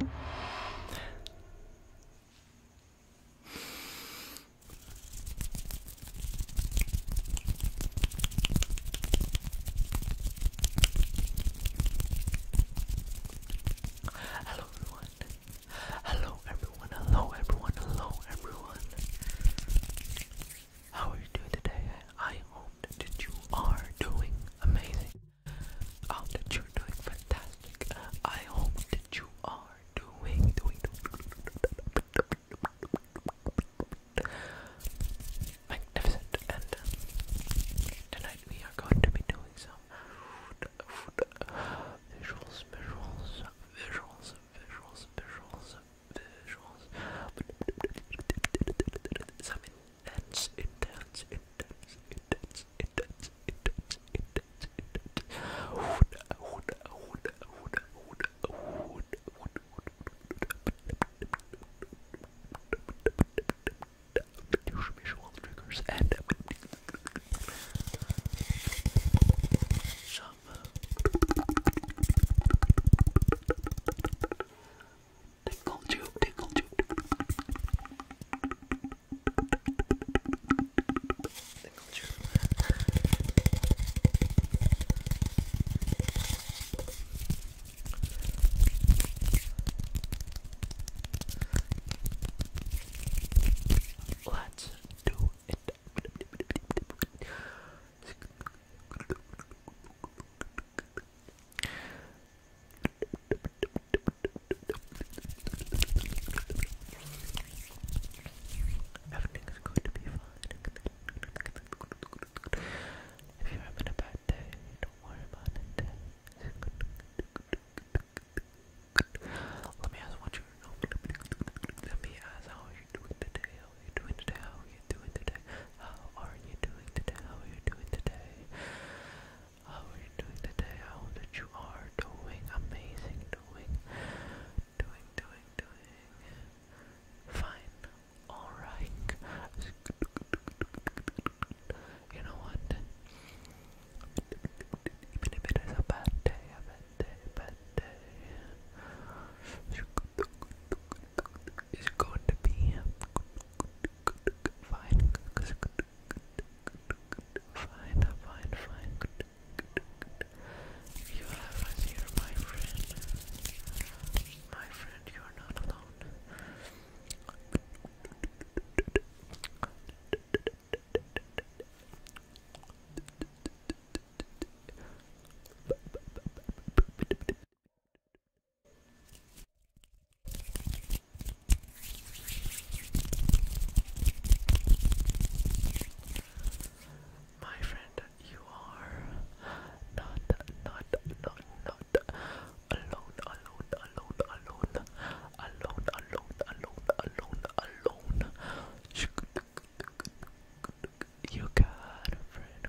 Hello everyone. Hello everyone. Hello everyone. Hello everyone. How are you doing today? I hope that you are doing amazing um, that you're doing fantastic. I hope that you are doing, doing, doing magnificent. And tonight we are going to be doing some visuals, visuals, visuals, visuals, visuals, visuals. Some intense, intense, intense, intense, intense, intense, intense, intense. Wood, wood, wood, wood, wood, wood, wood, visual triggers and some Tickle you, tickle you. Tickle do Everything's going to be fine. If you're having a bad day, don't worry about it. Let me ask what you're doing today? How are you How are you doing today? How are you doing today? How are you doing today? How are you doing today? How are you doing today? I hope you are doing amazing, doing, doing, doing, doing fine. Alright. You know what? Even if it is a bad day, a bad day, bad day, it's going to be fine Fine, fine, fine. You have us here, my friend. My friend, you are not alone. My friend, you are not, not, not, not alone, alone, alone, alone, alone, alone, alone, alone, alone. You got a friend.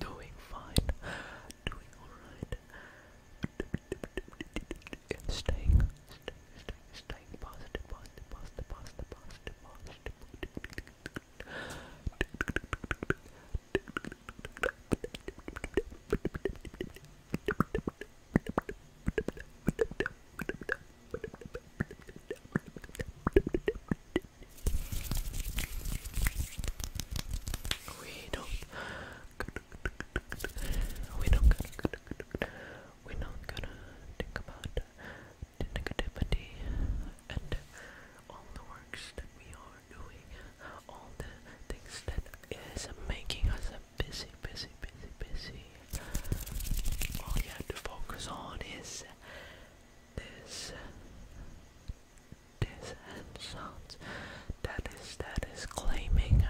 Doing fine, doing alright, staying, staying strike, strike, positive, positive, positive, positive, positive, positive. We don't we're not gonna we're not gonna think about the negativity and all the works that we are doing, all the things that is making us busy, busy, busy, busy. All you have to focus on is this this hand sounds that is that is claiming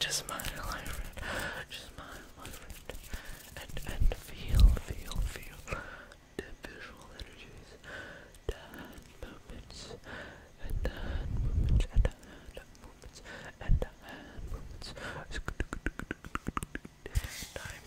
Just smile, my friend. Just smile, my friend. And and feel, feel, feel the visual energies, the movements, and the movements, and the hand movements, and movements. Time.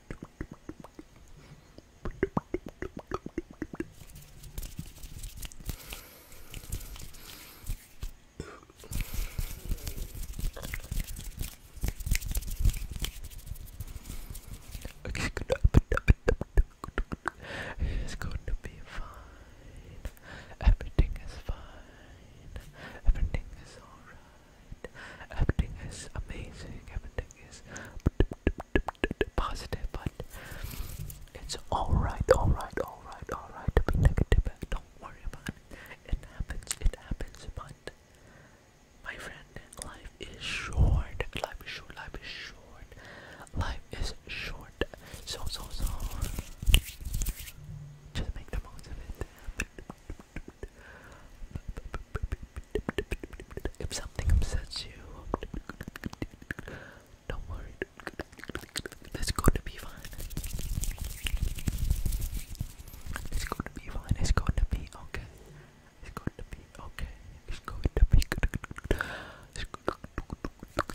It's going to be fine. Everything is fine. Everything is alright. Everything is amazing, everything is positive, but it's alright, alright, alright, alright to be negative. Don't worry about it. It happens, it happens, but my friend, life is short. Life is short, life is short. Life is short. So, so, so. Just make the most of it. If something upsets you, don't worry. It's going to be fine. It's going to be fine. It's going to be okay. It's going to be okay. It's going to be good. It's going to be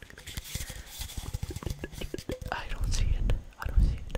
I don't see it. I don't see it.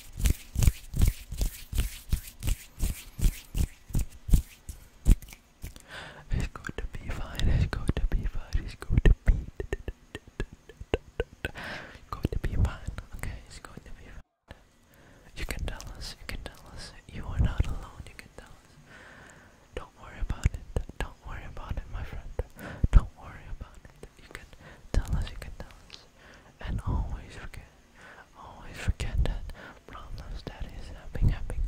It's going to be fine, it's going to be fine, it's going to be going to be fine, okay, it's going to be fine. You can tell us, you can tell us, you are not alone, you can tell us. Don't worry about it, don't worry about it, my friend. Don't worry about it you can tell us, you can tell us. And always forget, always forget that problems that is having, having,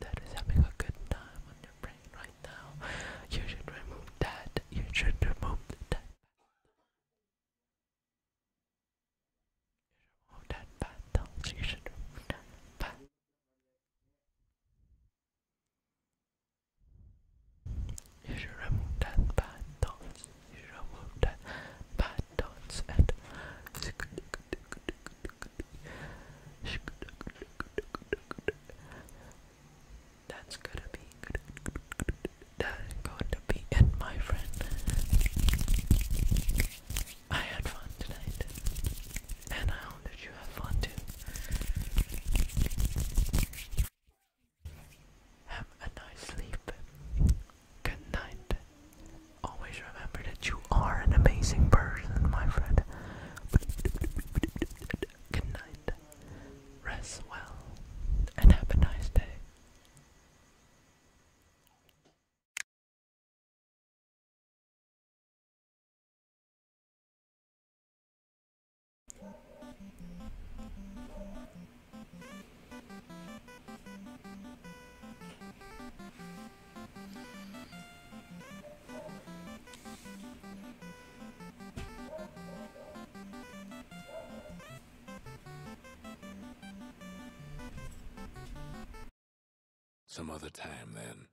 that is having a good time on your brain right now. You should remove that, you should remove that. remove that bad thoughts, you should remove that bad you should that bad and that's gonna be good. going to be it, my friend. I had fun tonight. And I hope that you have fun too. Have a nice sleep. Good night. Always remember that you are an amazing person, my friend. Good night. Rest well. And have a nice day. Some other time, then.